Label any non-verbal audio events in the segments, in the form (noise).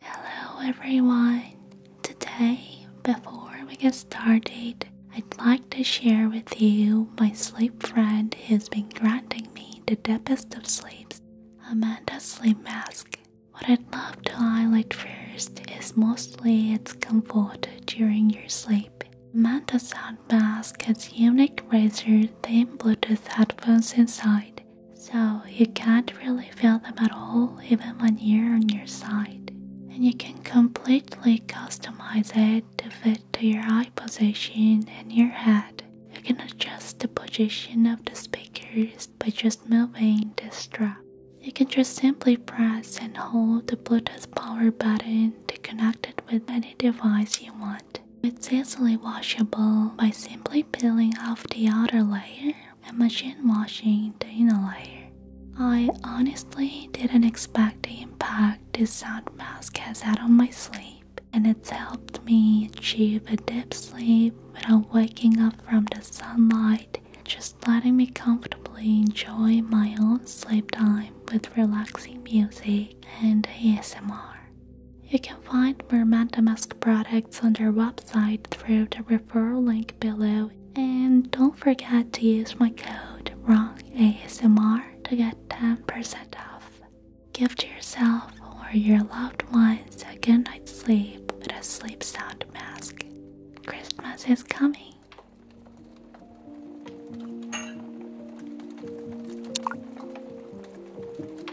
Hello everyone! Today, before we get started, I'd like to share with you my sleep friend who's been granting me the deepest of sleeps, Amanda Sleep Mask. What I'd love to highlight first is mostly its comfort during your sleep. Amanda's Sound Mask has unique razor-themed Bluetooth headphones inside so you can't really feel them at all even when you're on your side. And you can completely customize it to fit to your eye position and your head. You can adjust the position of the speakers by just moving the strap. You can just simply press and hold the Bluetooth power button to connect it with any device you want. It's easily washable by simply peeling off the outer layer and machine washing the inner layer. I honestly didn't expect the impact this sound mask has had on my sleep, and it's helped me achieve a deep sleep without waking up from the sunlight, just letting me comfortably enjoy my own sleep time with relaxing music and ASMR. You can find Mermanta Mask products on their website through the referral link below. And don't forget to use my code WRONGASMR to get 10% off. Give yourself or your loved ones a good night's sleep with a sleep sound mask. Christmas is coming.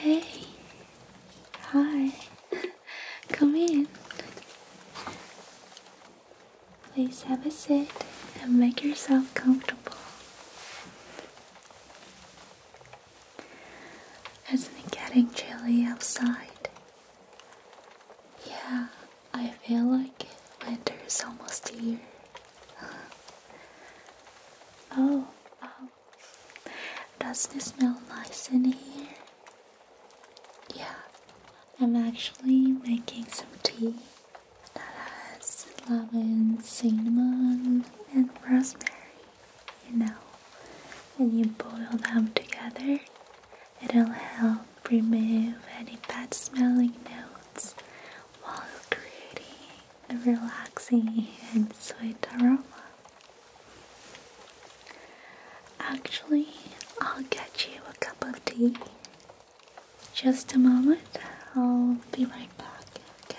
Hey, hi, (laughs) come in. Please have a seat and make yourself comfortable. Isn't it getting chilly outside? Yeah, I feel like winter is almost here. (laughs) oh, oh, doesn't it smell nice in here? Yeah, I'm actually making some tea that has lemon, cinnamon, and rosemary, you know. When you boil them together, it'll help remove any bad smelling notes while creating a relaxing and sweet aroma. Actually, I'll get you a cup of tea just a moment, I'll be right back, okay?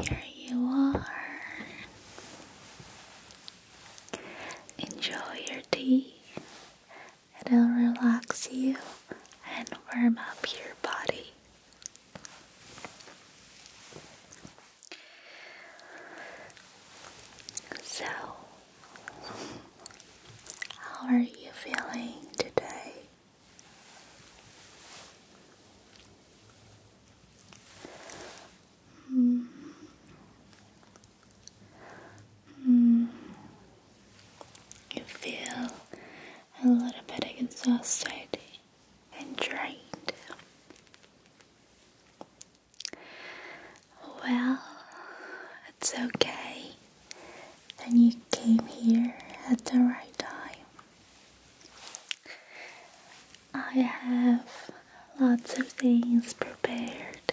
Here you are. Enjoy your tea It'll relax you and warm up your body. So, how are you feeling today? Mm. Mm. You feel a little bit exhausted and drained. Well, it's okay. And you came here at the right time. I have lots of things prepared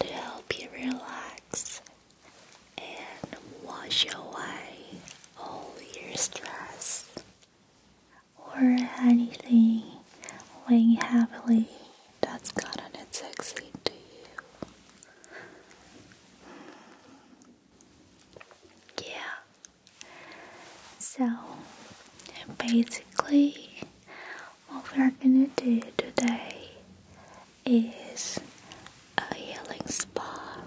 to help you relax and wash away all your stress or anything weighing heavily that's gotten it sexy to you. Yeah. So basically what we're gonna do today is a healing spa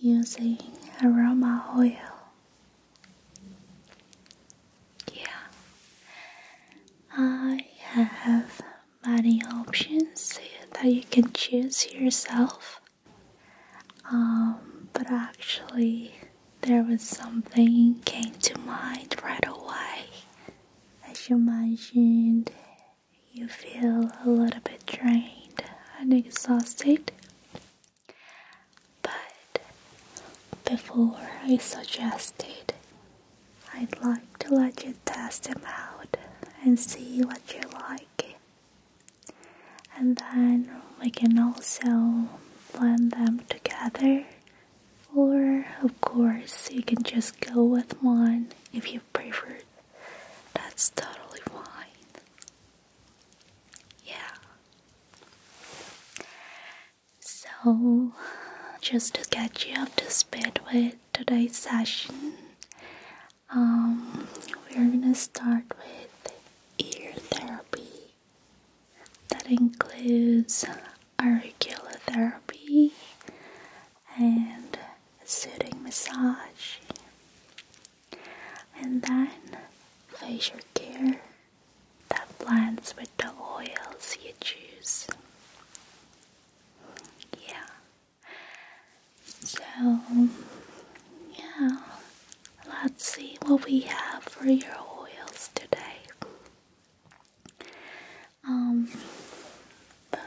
using aroma oil. Yeah, I have many options that you can choose yourself. Um, but actually, there was something came to mind right away. As you mentioned, you feel a little bit drained and exhausted. But before I suggested, I'd like to let you test them out and see what you like. And then we can also blend them together. Or, of course, you can just go with one if you you that's totally fine. Yeah. So, just to catch you up to speed with today's session, um, we're gonna start with ear therapy. That includes auricular therapy and a soothing massage, and then facial care that blends with the oils you choose. Yeah. So, yeah, let's see what we have for your oils today. Um, but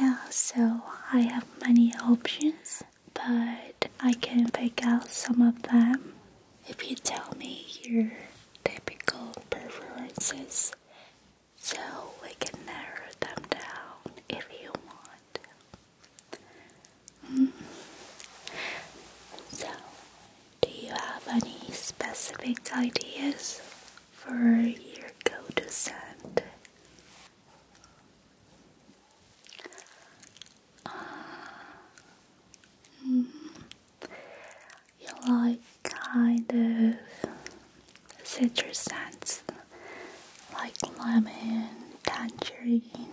yeah, so I have many options, but I can pick out some of them if you tell me your typical preferences so we can narrow them down if you want. Mm. So, do you have any specific ideas for your go-to scent. Uh, you like kind of citrus scents like lemon, tangerine,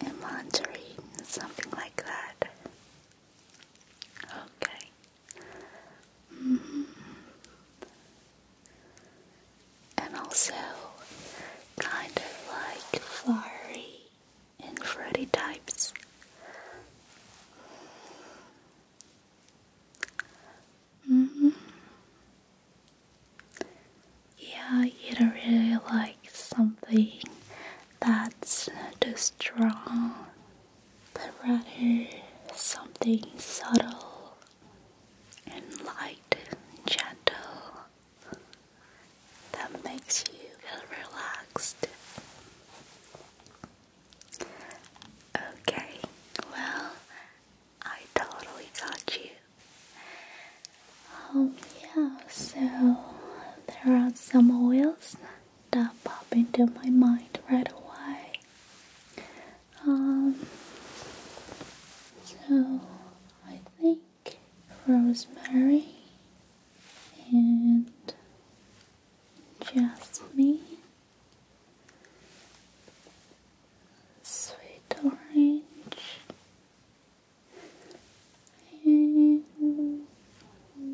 and mandarin, something like that. Okay. Mm-hmm. And also kind of like furry and fruity types. Mm-hmm. Yeah, you don't really like something that's too strong but rather something subtle and light and gentle that makes you feel relaxed. Okay, well, I totally got you. Um, yeah, so there are some oils that pop into my mind right away. Um, so I think rosemary and jasmine, sweet orange, and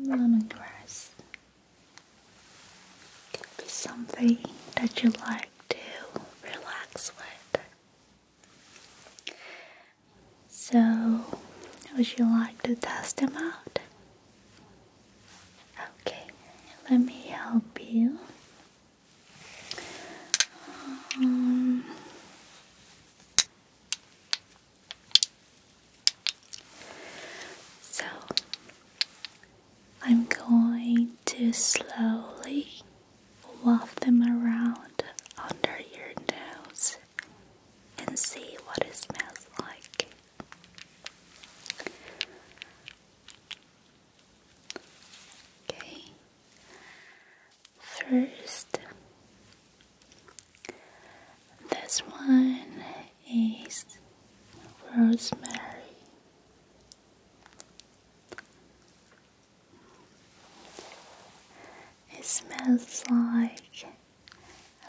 lemongrass could be something that you like to relax with. So, would you like to test them out? Okay, let me help you. Um, so I'm going to slowly waft them around under your nose and see what it smells like. Okay, first, this one is rosemary. It smells like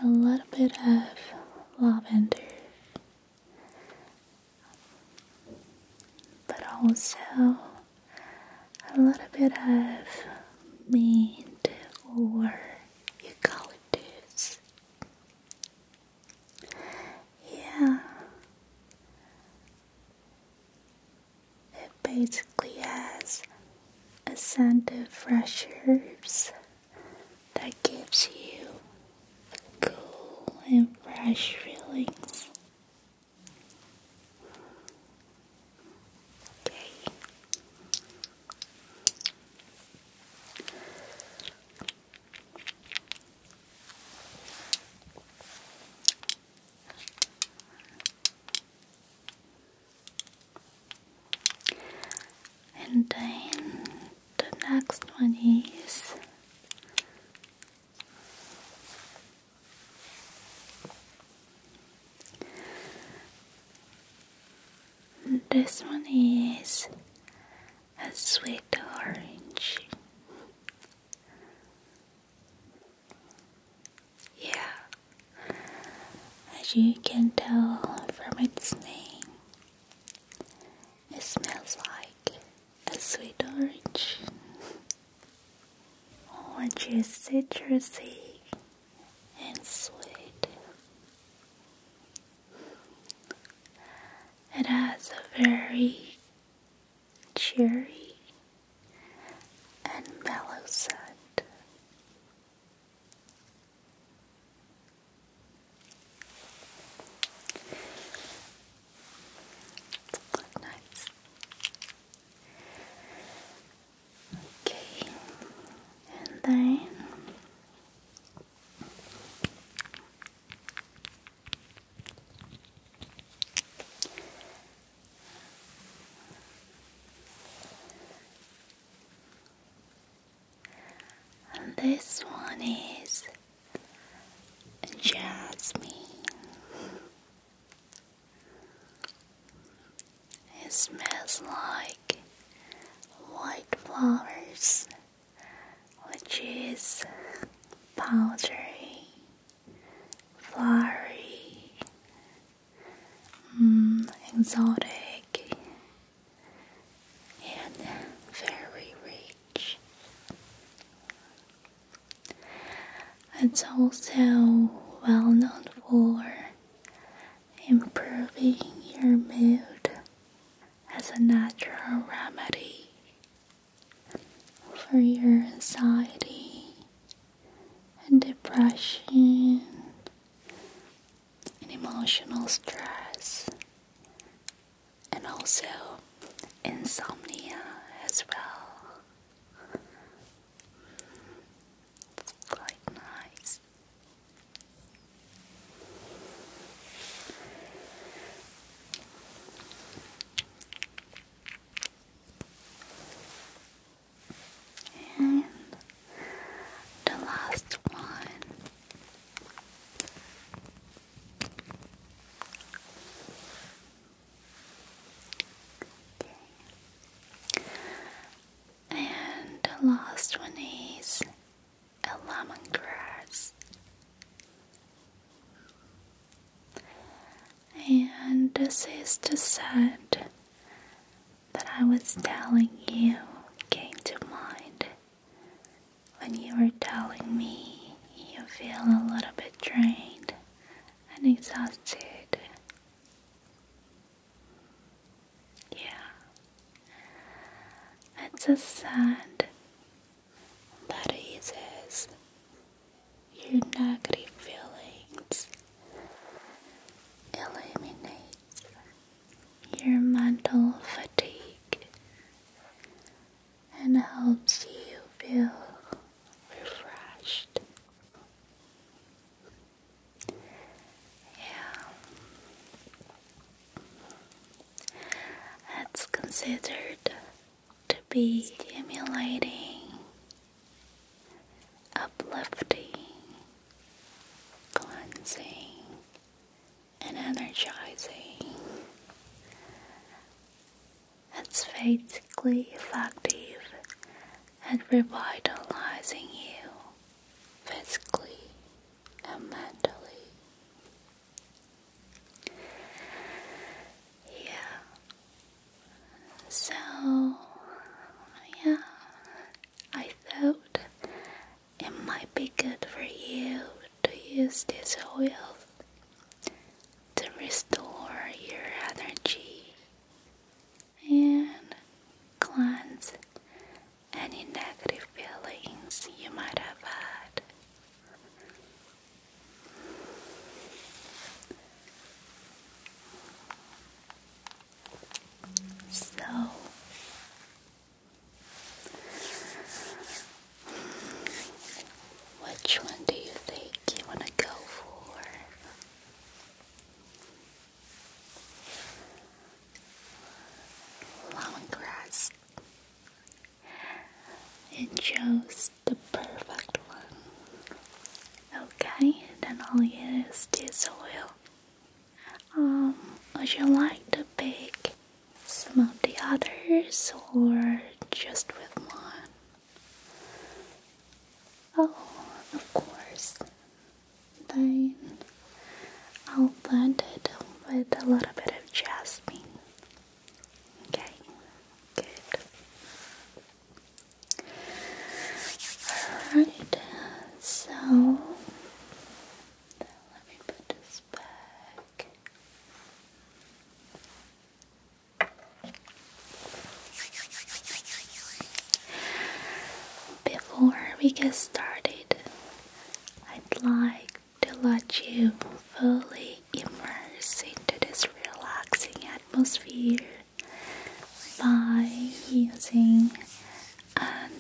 a little bit of lavender, but also a little bit of mint or you call it this. Yeah. It basically has a scent of fresh herbs that gives you a cool and fresh feeling. Okay. And then the next one is this one is a sweet orange. Yeah, as you can tell from its name, it smells like a sweet orange. Orange is citrusy and sweet. It has a very cheery and mellow scent. Okay, and then and this one is Jasmine. It smells like white flowers which is powdery, flowery, mm, exotic, and very rich. It's also well known for improving your mood as a natural remedy for your anxiety and depression and emotional stress and also insomnia as well. quite nice. And the last one. Okay. And the last one is a lemongrass. And this is the scent that I was telling you came to mind when you were telling me you feel a little bit drained and exhausted. Yeah. It's a sad that eases your negative feelings, eliminates your mental fatigue, and helps you feel refreshed. Yeah. It's considered to be stimulating, uplifting, cleansing, and energizing. It's basically effective at revitalizing you physically and Yeah. So, yeah, I thought it might be good for you to use this oil to restore your energy and cleanse any negative feelings you might have had. So, which one do you think you want to go for? Long grass this. It chose the perfect one. Okay, then all you use this oil. Um, would you like to pick some of the others or just with one? Oh, of course. Then I'll blend it with a little bit of jasmine. Okay, good. Alright, so let me put this back. Before we get started, I'd like to let you fully immerse into this relaxing atmosphere by using an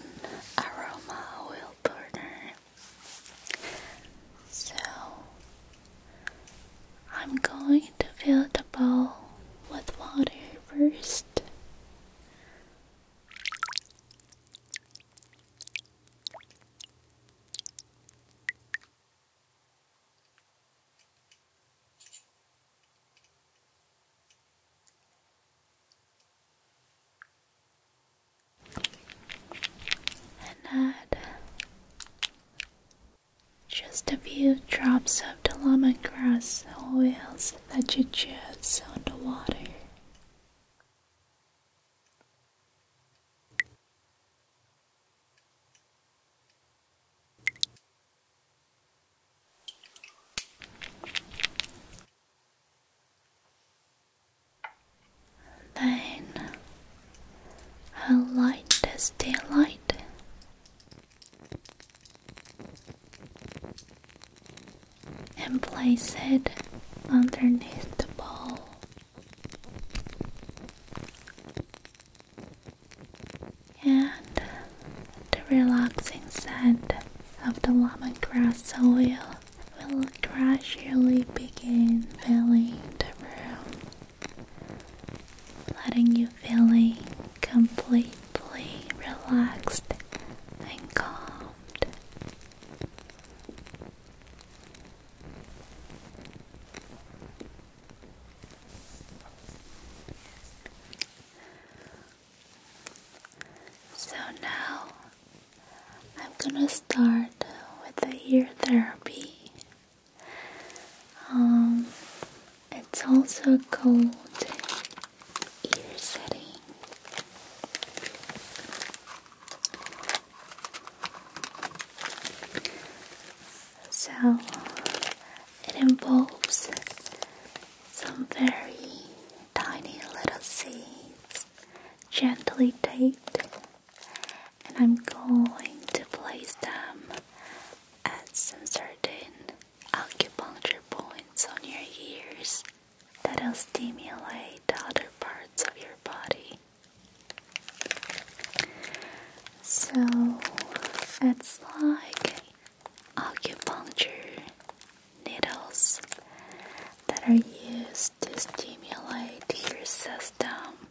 aroma oil burner. So I'm going to fill the bowl with water first. And add just a few drops of the lemongrass oils that you choose on the water. Then, how light is daylight? and place it underneath the bowl. And the relaxing scent of the grass oil will gradually begin filling the room, letting you feeling completely relaxed and calmed. So now I'm gonna start with the ear therapy. Um, it's also called ear setting. So it involves some very tiny little seeds gently taped, and I'm going to place them at some certain acupuncture points on your ears that'll stimulate the other parts of your body. So it's like acupuncture needles that are used to stimulate your system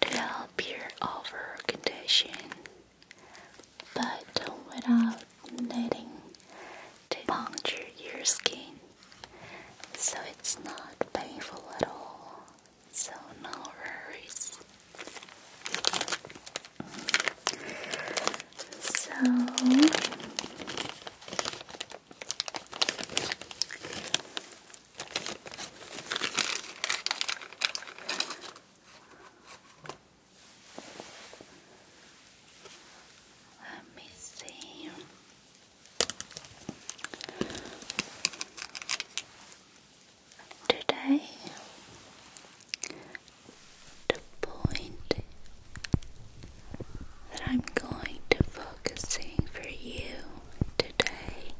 to help your overall condition, but without needing to puncture your skin so it's not painful at all. So, no worries. So, let me see. Today, the point that I'm going to focusing for you today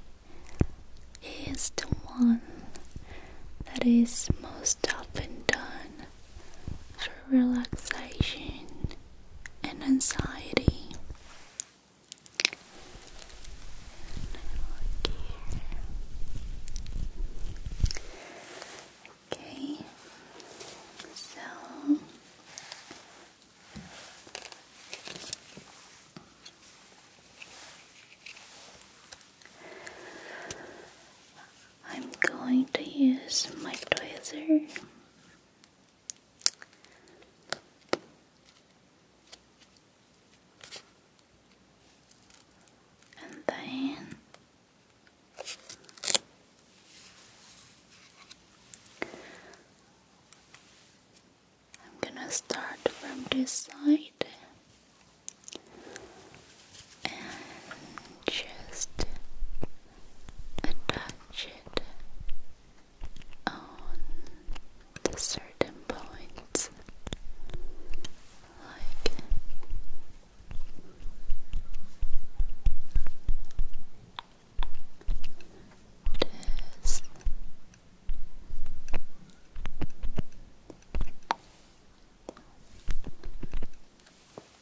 is the one that is most often done for relaxation and anxiety. okay, so I'm going to use my tweezer and then I'm gonna start from this side and just attach it on the certain points like this.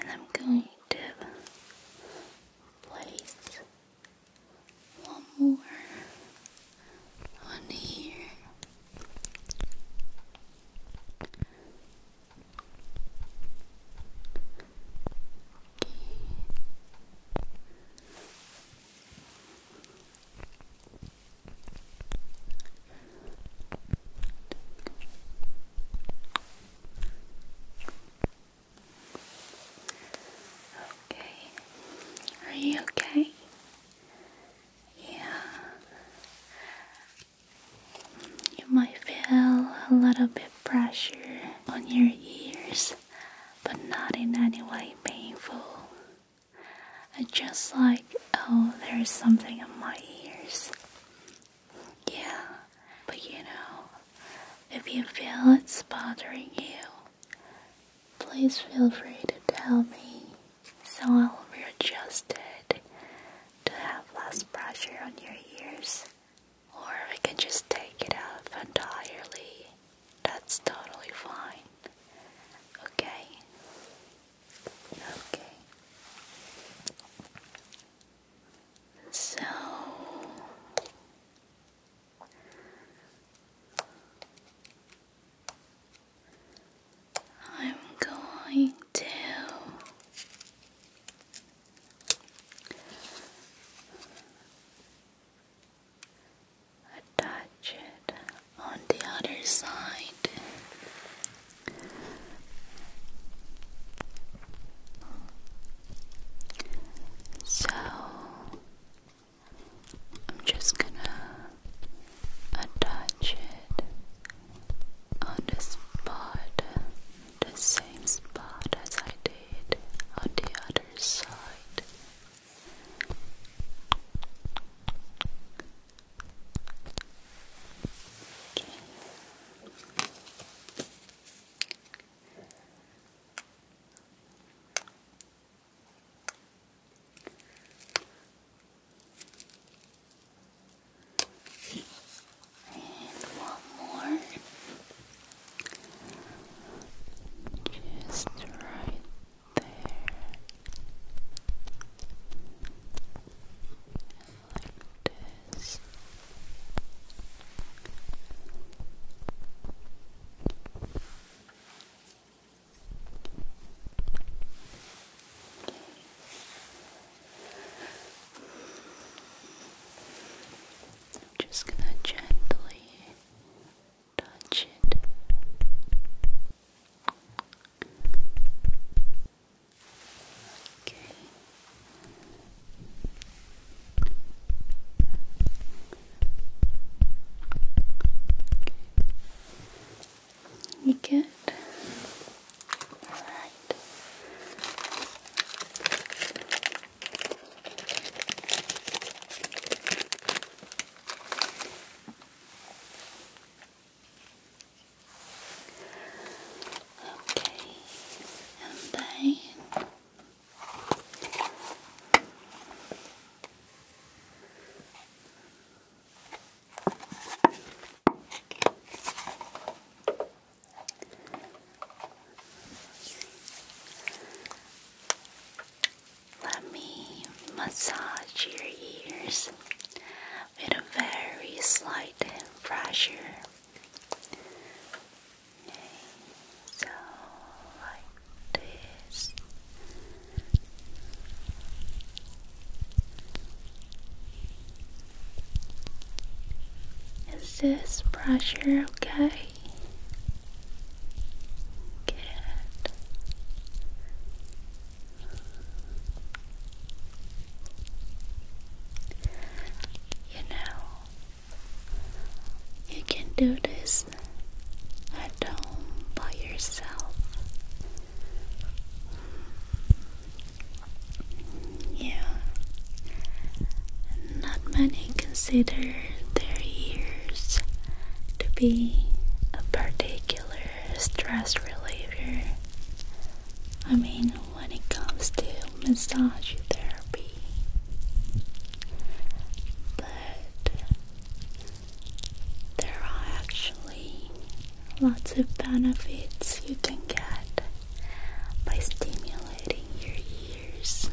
and I'm going to place one more on here. Okay. Okay. Are you okay? Yeah. You might feel a little bit pressure on your ears, but not in any way painful. Just like, oh, there's something on my ears. Yeah, but you know, if you feel it's bothering you, please feel free to tell me so I'll readjust it to have less pressure on your ears. Or we can just take it out entirely. That's totally fine. Okay? Okay. So I'm going to attach it on the other side so I'm just gonna attach it on the spot, the same spot as I did on the other side. Okay. And one more. Just right there like this. just gonna gently touch it. You good? All right. Okay, and then let me massage your ears with a very slight pressure. so like this. Is this pressure okay? Good. You know, you can do this at home by yourself. Yeah, not many consider their ears to be a particular stress reliever. I mean, when it comes to massage therapy, but there are actually lots of benefits you can get by stimulating your ears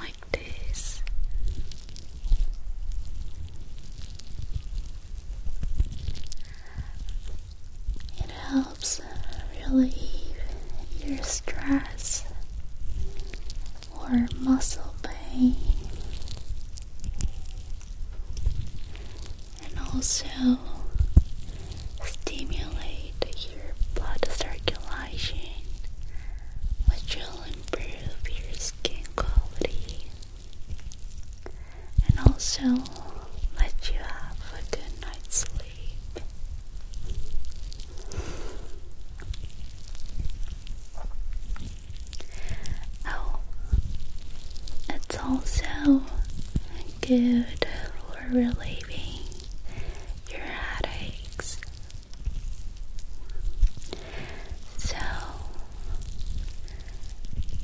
like this. It helps relieve your stress or muscle pain and also stimulate your blood circulation which will improve your skin quality and also let you have a good night's sleep. Oh, it's also good for relieving your headaches. So,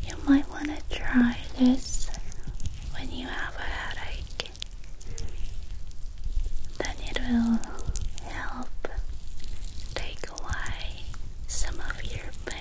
you might want to try this when you have a headache, then it will help take away some of your pain.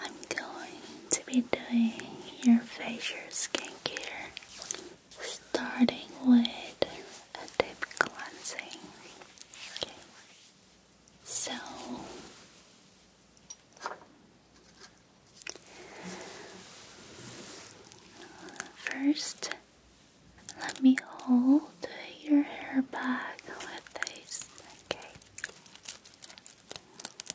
I'm going to be doing your facial skincare starting with a deep cleansing. Okay. So First, let me hold your hair back with this. Okay.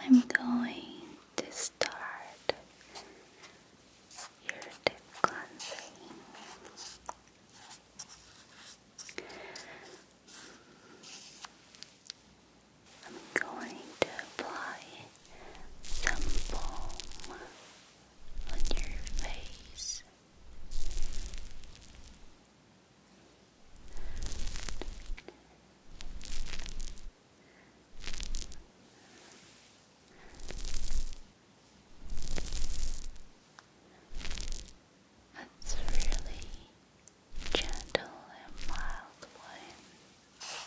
I'm going to start your deep cleansing. I'm going to apply some balm on your face. That's a really gentle and mild one.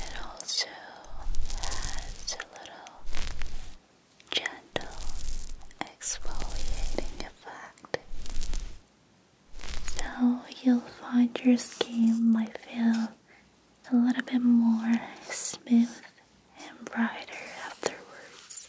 It also has a little gentle exfoliating effect. So you'll find your skin might feel a little bit more smooth and brighter afterwards.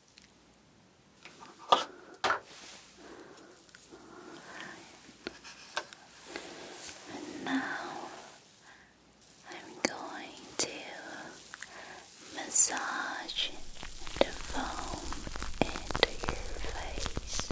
And now I'm going to massage the foam into your face.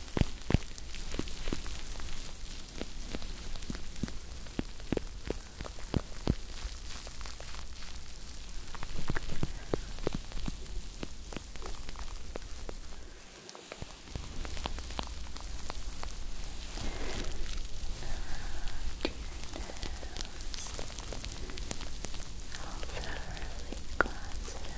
your nose. I'll thoroughly cleanse it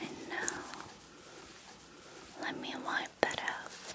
And now let me wipe that off.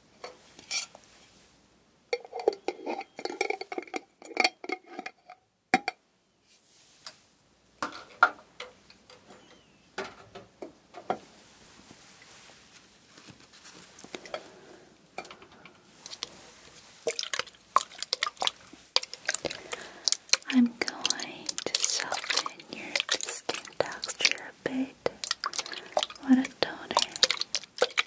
I'm going to it your skin texture a bit. What a toner! Okay.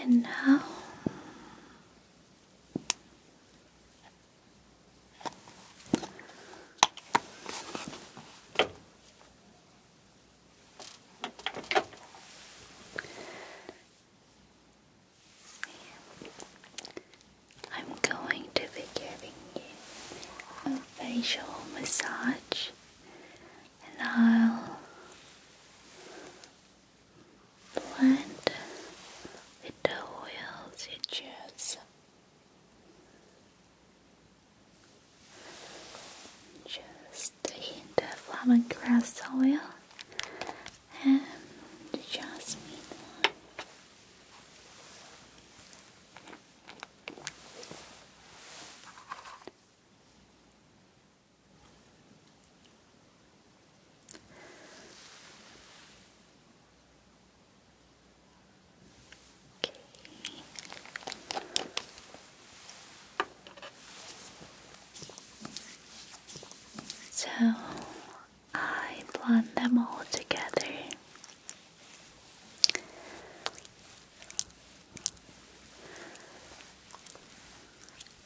And now I'm going to be giving you a facial massage and I'll blend with the oils you choose. Just a hint of lemongrass oil and jasmine so I blend them all together.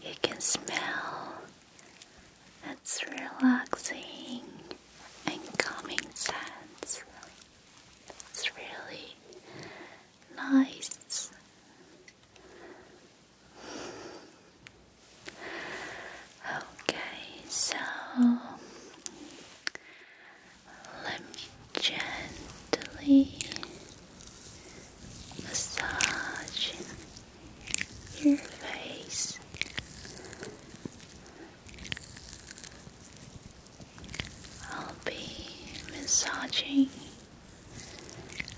You can smell its relaxing and calming scents. It's really nice. Okay, so let me gently massaging your face. I'll be massaging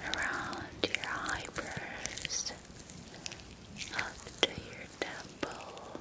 around your eyebrows up to your temple.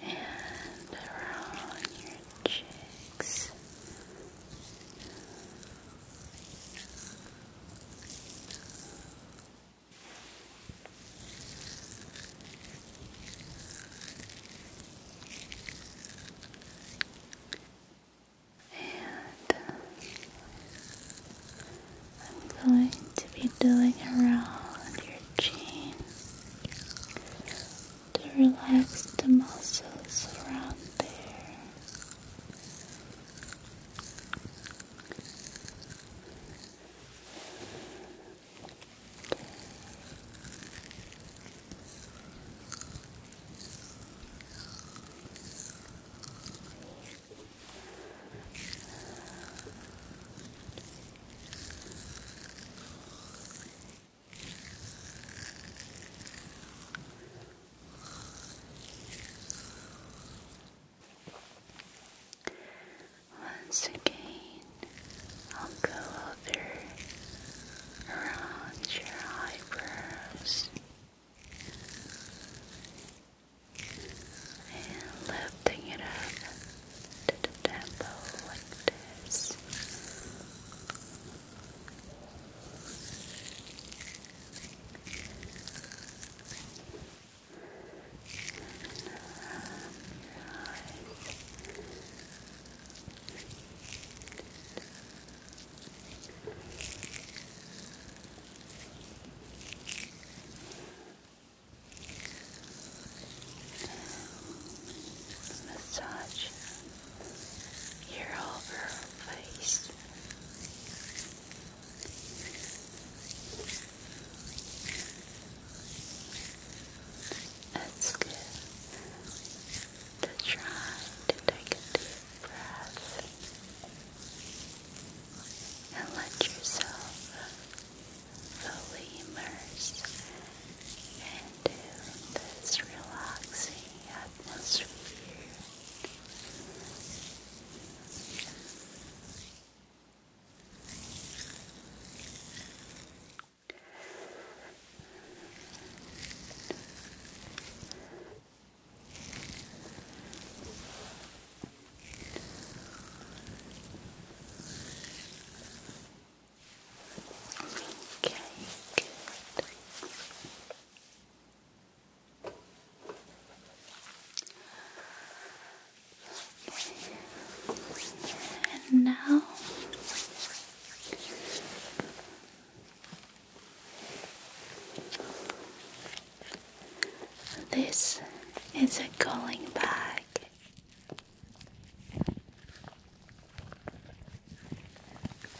and around your cheeks and I'm going to be doing around your chin to relax the muscles around there. Once again, I'll go around your eyebrows and lifting it up to the temple like this. Massage your overall face. It's good try to take a deep breath and let yourself fully immerse into this relaxing atmosphere. Okay, good. And now this is a calling bag.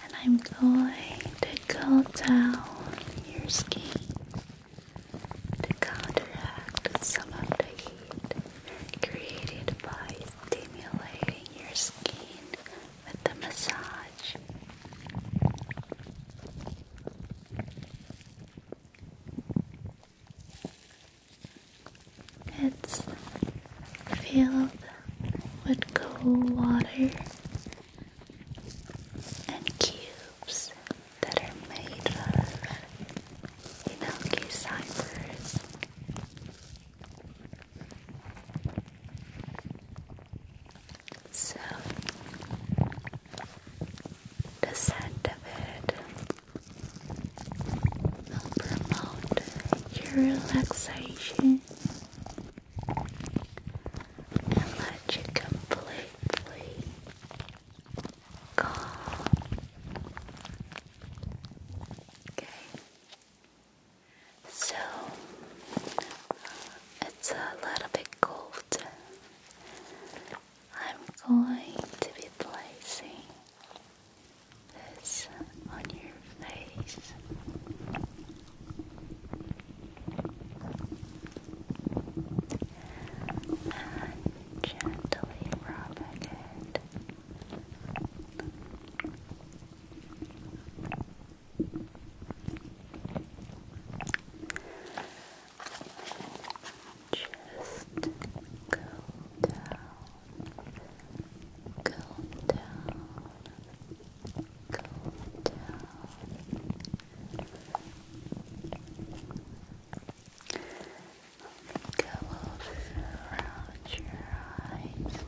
And I'm going to cool down your skin to counteract some of the heat created by stimulating your skin with the massage. It's filled with cold water and cubes that are made of Inoki ciphers. So the scent of it will promote your relaxation and let you completely calm. Okay. So it's a little bit cold I'm going to be placing this on your face. And gently rubbing it. Just go down, go down, go down. Go around your eyes.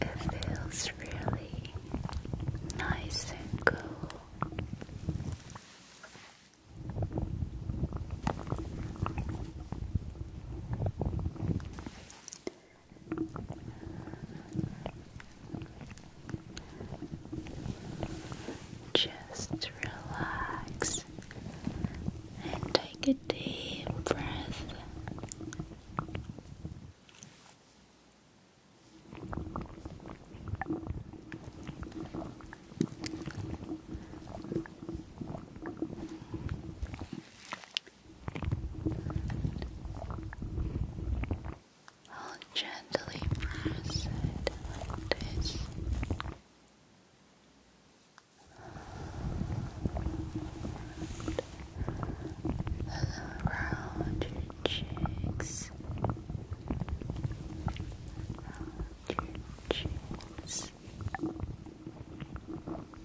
It feels really nice and cool. Just relax and take a deep breath. I'll gently press it around your cheeks, around your cheeks,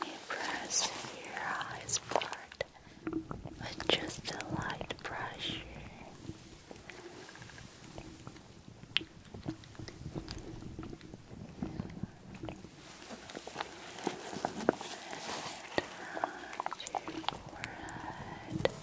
When you press your eyes part with just a light brush, and around your forehead.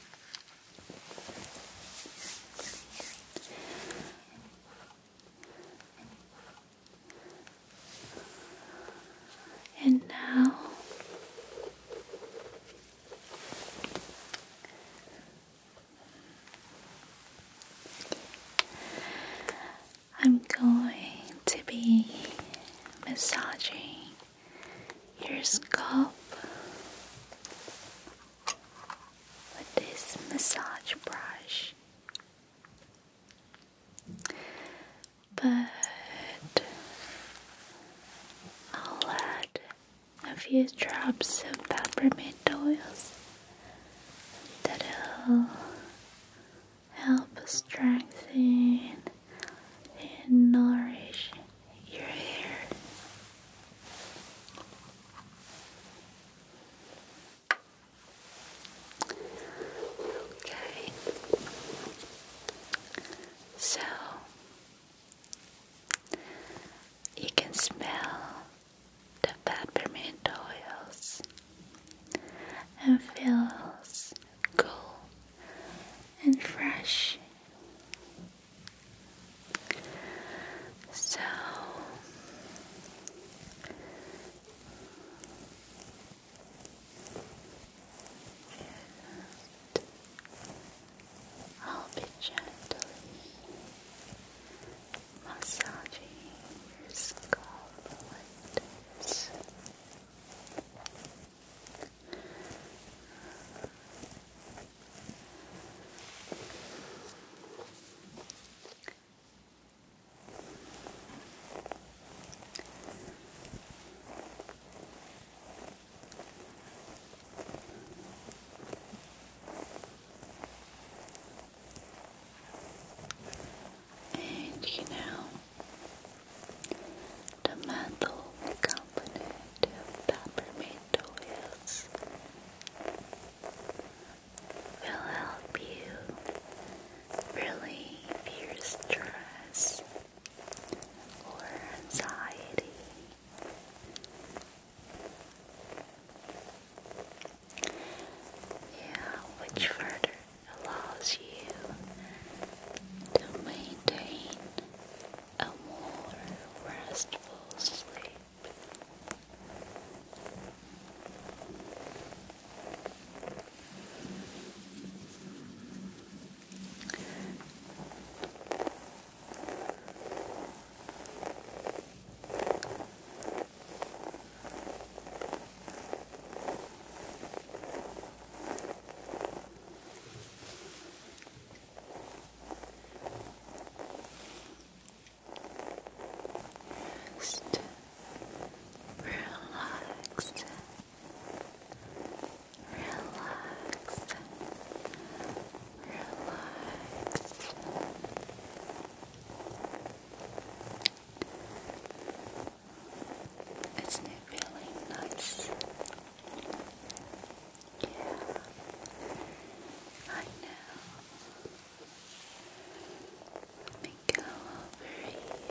And now I'm going to be massaging your scalp with this massage brush. But I'll add a few drops of peppermint oils that'll help strengthen and nourish your hair. Okay. So you can smell the peppermint oils and feels cool and fresh. So I'll be gently massaging your scalp like this. And you know, the mantle accompanied peppermint oils will help you relieve your stress or anxiety. Yeah, which further allows you to maintain a more restful sleep. Just relax, relax, relax. Isn't it really nice yeah, I know. Let me go over here.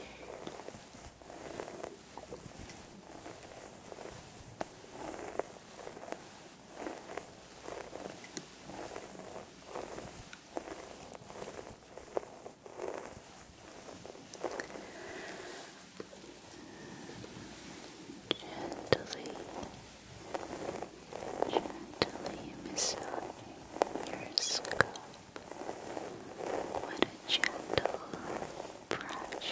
Gently, gently massaging your scalp. What a gentle brush.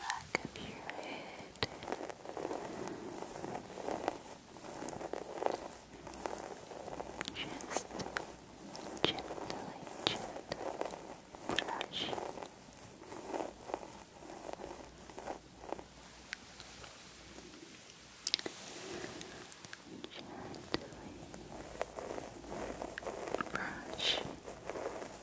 back of your head. Just gently, gently brush. Gently brush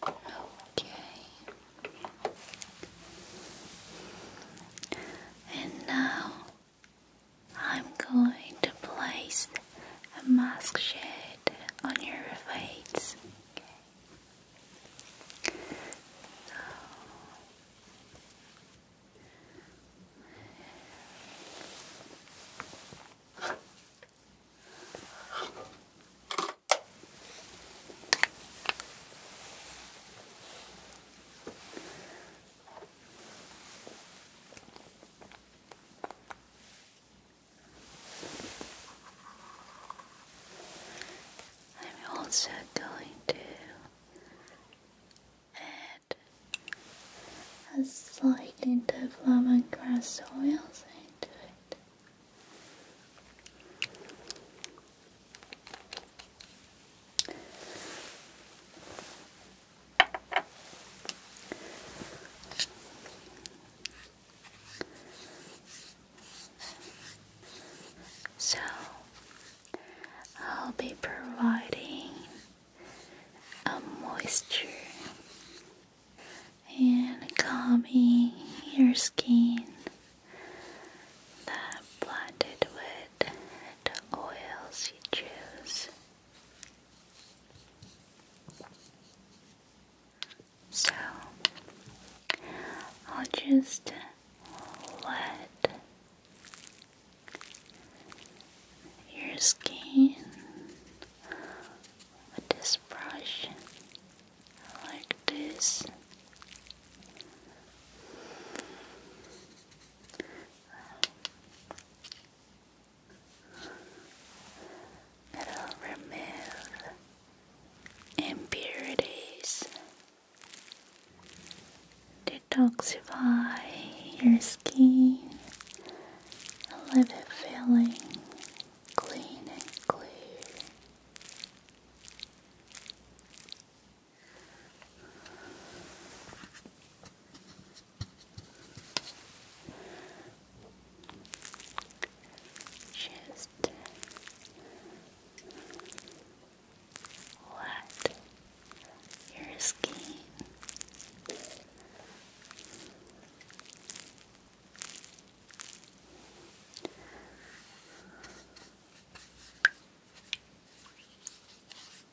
Okay. And now I'm going to place a mask shade on your face. I'm also going to add a slight hint of lemongrass oils into it. So, I'll be providing a moisture and calming your skin that blended with and oils you choose. So I'll just let your skin with this brush like this. It'll remove impurities, detoxify your skin, leave it feeling clean and clear. Just let your skin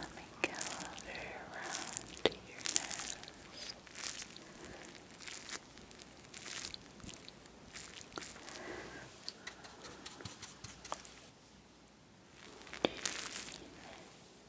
Let me go over around your nose. Even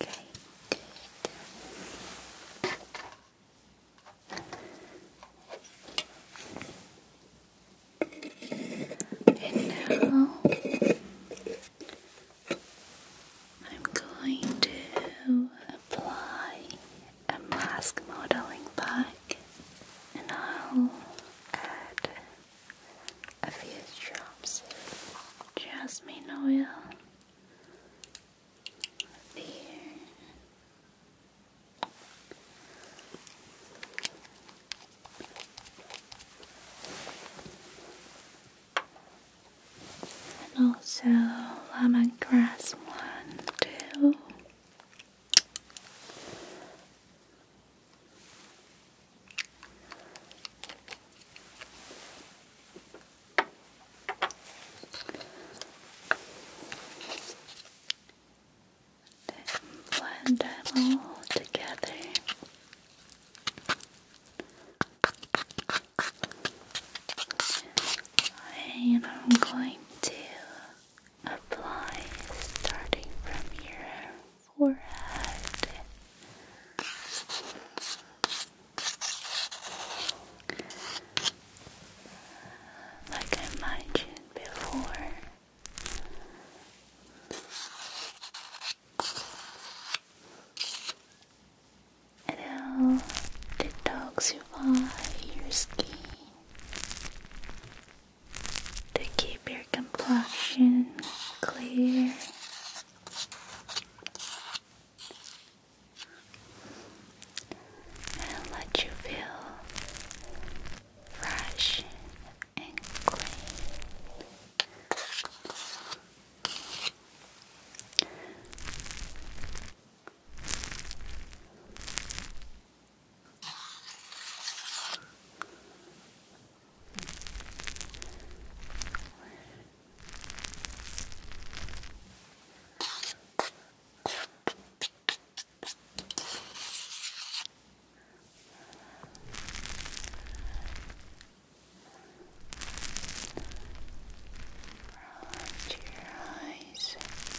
Okay, good. And now I'm going to apply a mask modeling pack and I'll add a few drops of jasmine oil And also lemongrass one, two blend them all together. And I'm going to apply starting from your forehead. Like I mentioned before, it'll your skin to keep your complexion clear. And let you feel fresh and clean. Right your eyes. Right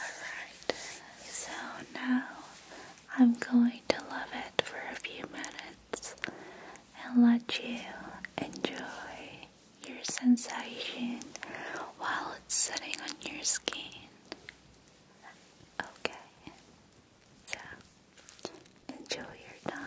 Alright, so now I'm going to love it for a few minutes and let you enjoy your sensation while it's sitting on your skin. Okay, so enjoy your time.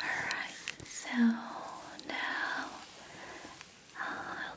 Alright, so now I'll uh,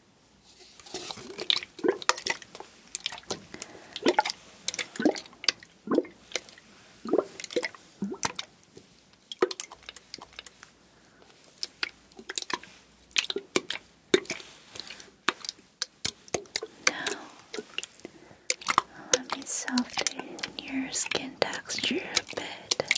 Now, let me soften your skin texture a bit.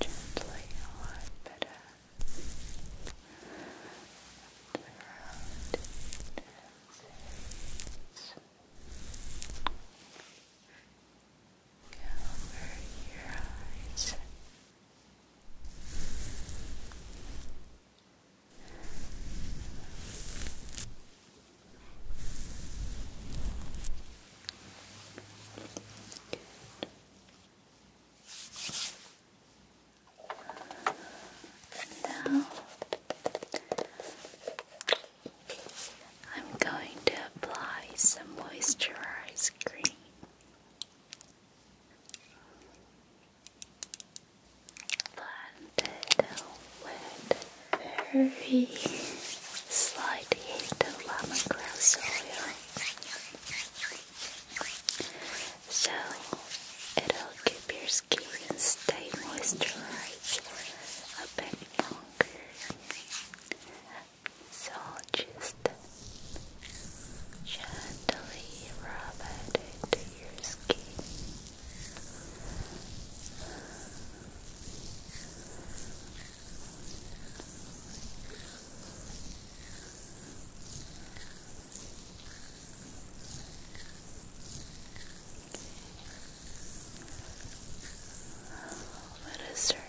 Okay. Gently a lot better. Around Cover your eyes. Now I'm going to apply some moisturized cream. Blend it with very slight heat of lemongrass oil so it'll keep your skin stay moisturized a bit longer so just gently rub it into your skin. Let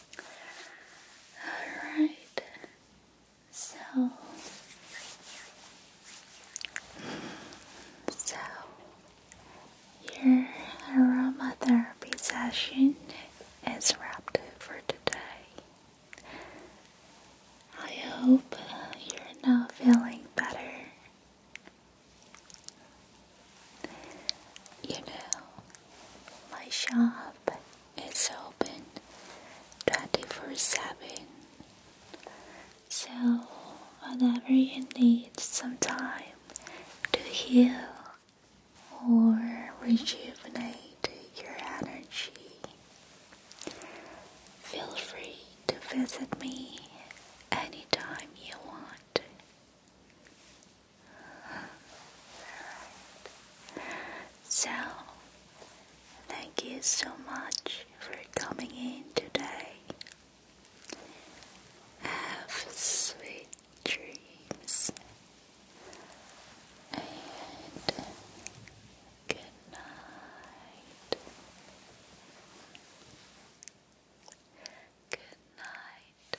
Alright, so, so your aromatherapy session is wrapped for today. I hope you're now feeling better. You know, my shop is open 24 7. So, whenever you need some time to heal or rejuvenate your energy, feel free to visit me anytime you want. So, thank you so much for coming in today. Have sweet dreams. And good night. Good night.